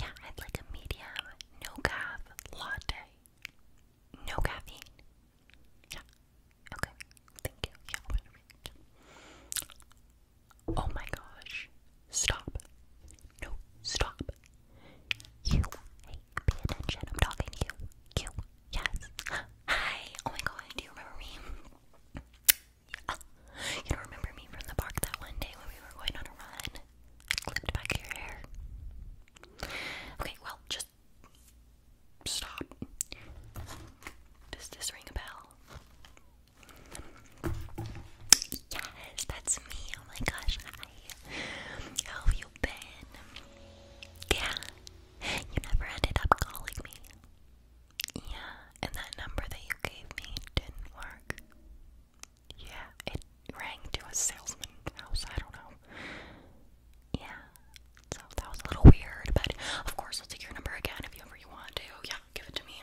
Yeah, I'd like a medium, no calf latte. No caffeine. Yeah. Okay. Thank Yeah, Oh my gosh. Stop. No, stop. You. Hey, pay attention. I'm talking to you. You. Yes. Hi. Oh my god. Do you remember me? You don't remember me from the park that one day when we were going on a run? clipped back your hair. Okay, well, just stop. Does this ring a bell? Yes, that's me. Oh my gosh, have you been? Yeah, you never ended up calling me. Yeah, and that number that you gave me didn't work. Yeah, it rang to a salesman's house, I don't know. Yeah, so that was a little weird, but of course I'll take your number again if you ever you want to. Yeah, give it to me.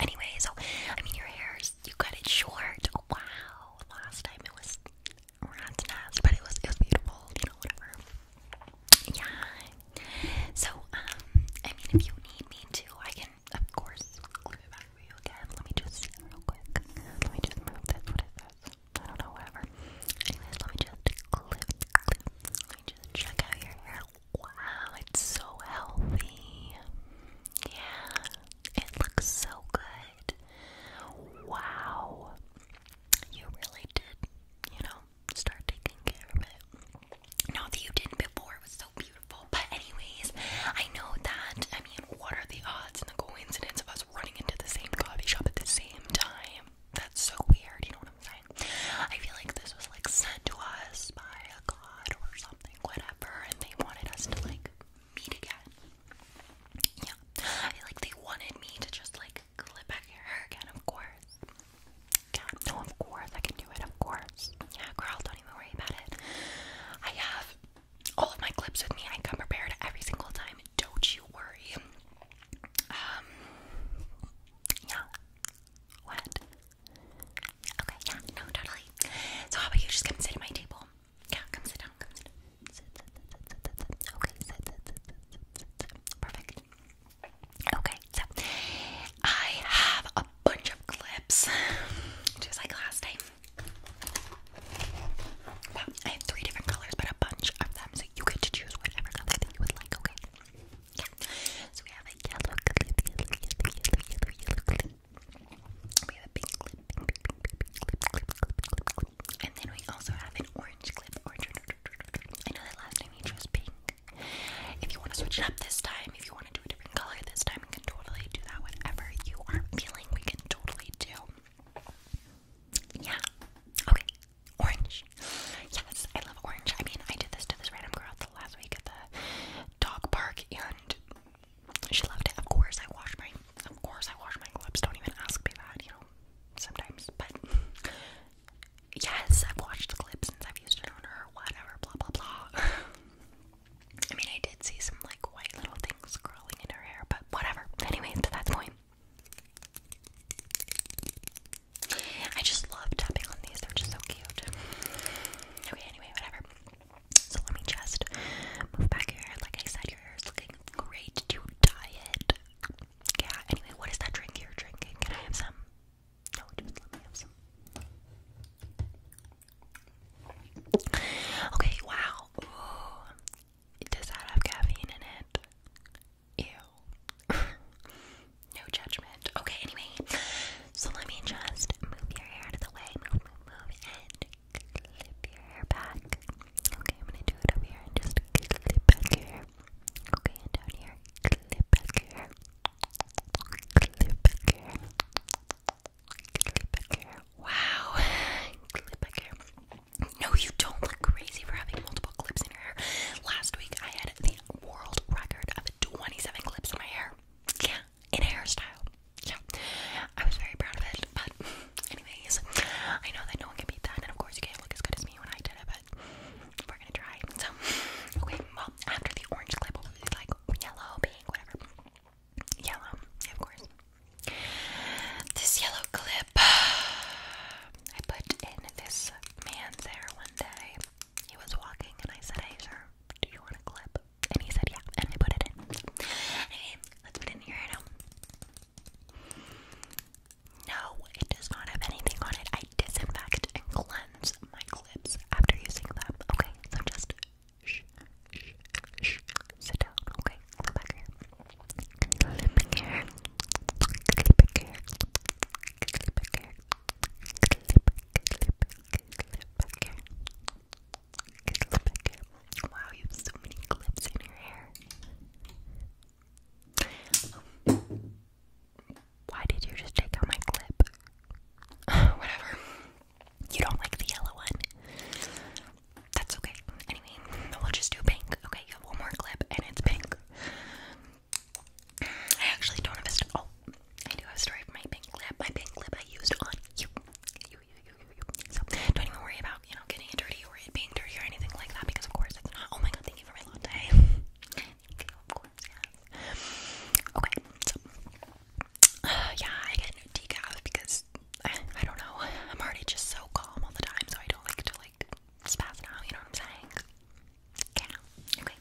Anyway, so I mean your hair you cut it short. wow, last time it was rat's nest, but it was it was beautiful. You know, whatever. Yeah. So um, I mean, if you need me to, I can of course. Let me just see real quick. Let me just move this. I don't know, whatever. Anyways, let me just Let me just check out your hair. Wow, it's so healthy. Yeah, it looks so good. Wow. You really did, you know, start taking care of it. Not that you didn't before, but anyways, I know that I mean what are the odds and the coincidence of us running into the same coffee shop at the same time? That's so weird, you know what I'm saying? I feel like this was like sent to us by a god or something, whatever, and they wanted us to like meet again. Yeah. I feel like they wanted me to just like clip back your hair again, of course. Yeah, no, of course I can do it, of course. Yeah, girl, don't even worry about it. I have all of my clips with me. I come prepared every single time. Don't you worry. Um, yeah. What? Okay, yeah, no, totally. So how about you just come sit at my table? Yeah, come sit down, come sit down. Sit, sit, sit, sit, sit, sit. Okay, sit, sit, sit, sit, sit. Perfect. Okay, so I have a bunch of clips, just like last time. I have three different colors, but a bunch of them, so you get to choose whatever color that you would like, okay? So we have a yellow clip, We have a pink clip, And then we also have an orange clip, I know that last time you chose pink. If you want to switch it up this time, if you want to do a different color this time, you can totally do that. Whatever you are feeling, we can totally do. Yeah. Okay. Orange. Yes, I love orange. I mean, I did this to this random girl the last week at the dog park, and she loved it. Of course, I wash my, of course, I wash my gloves. Don't even ask me that, you know. Sometimes, but yes, I've watched the clip since I've used it on whatever, blah blah blah. I mean, I did see some like white little things curling in her hair, but whatever. Anyway, to that point, I just love tapping on these, they're just so cute. Okay, anyway, whatever. So let me just move back here. Like I said, your hair is looking great to dye Yeah, anyway, what is that drink you're drinking? Can I have some? Oh, okay, wow. Ooh. Does that have caffeine in it? Ew. no judgment. Okay, anyway. So let me just move your hair out of the way. Move, And clip your hair back. Okay, I'm gonna do it over here and just clip back your Okay, and down here. Clip back here. Clip back here. Clip back here. Wow. Clip back here. No, you don't look crazy for having multiple clips in your hair. Last week I had the world record of 27 clips in my hair. Yeah, in hairstyle. Yeah. I was very proud of it, but anyways, I know that no one can beat that, and of course you can't look as good as me when I did it, we're gonna try. So, okay, well, after the orange clip, hopefully like yellow, pink, whatever. Yellow, of course. This yellow clip I put in this man's hair one day. He was walking, and I said, Hey, sir, do you want a clip? And he said, Yeah, and I put it in. Anyway, let's put it in here right now. No, it does not have anything on it. I disinfect and cleanse my clips after using them. Okay, so just shh, shh, shh. Sit down. Okay, come back here. Clip here. Clip here. Clip here. Clip, clip, clip here. Clip here. Wow, you have so many clips in your hair why did you just take out my clip? Whatever. You don't like the yellow one. That's okay. Anyway, we'll just do pink. Okay, you have one more clip and it's pink. I actually don't have a story. Oh, I do have a story of my pink clip. My pink clip I used on you. You, you, you, you, you. So don't even worry about, you know, getting dirty or it being dirty or anything like that because, of course, it's not. Oh my god, Thank you Okay, so uh, yeah, I get no decaf because I, don't know. I'm already just so calm all the time, so I don't like to like spaz out. You know what I'm saying? Yeah. Okay.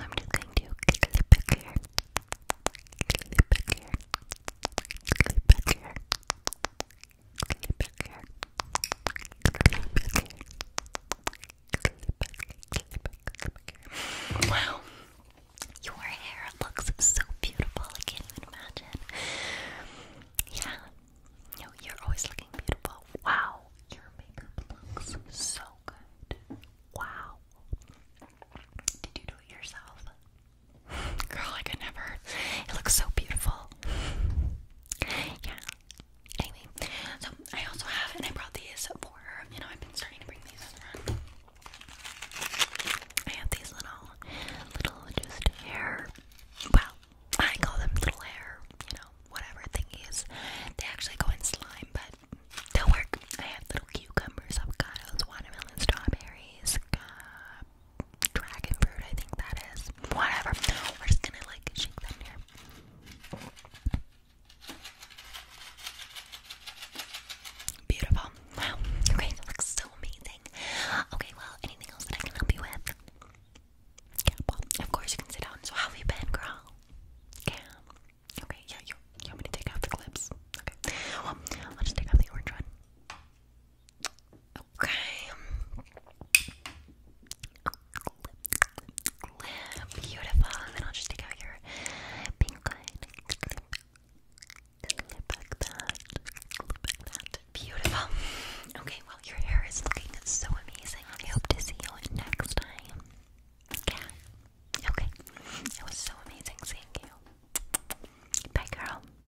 I'm just going to clip back here. here. Wow, your hair looks so beautiful. I can't even imagine. Yeah, no, you're always looking beautiful. Wow, your makeup looks so good. Wow. Did you do it yourself? Girl, I could never. It looks so beautiful yeah. Anyway, so I also have, and I brought these for, you know, I've been starting to bring these I have these little, little just hair, well, I call them little hair, you know, whatever thingies. They actually go in slime, but they work. I have little cucumbers, avocados, watermelon, strawberries, dragon fruit, I think that is. Whatever. We're just gonna like shake that in here. Beautiful. Wow. Okay, that looks so amazing. Okay, well, anything else that I can help you with? of course you can sit down. So how have you been, girl? Yeah. Okay, yeah, you, you want me to take out the clips? Okay. Well, I'll take out the orange one. Okay. Beautiful. And then I'll just take out your pink Beautiful. Okay, well, your hair is looking so amazing. I hope to see you next time. Yeah. Okay. It was so amazing seeing you. Bye, girl.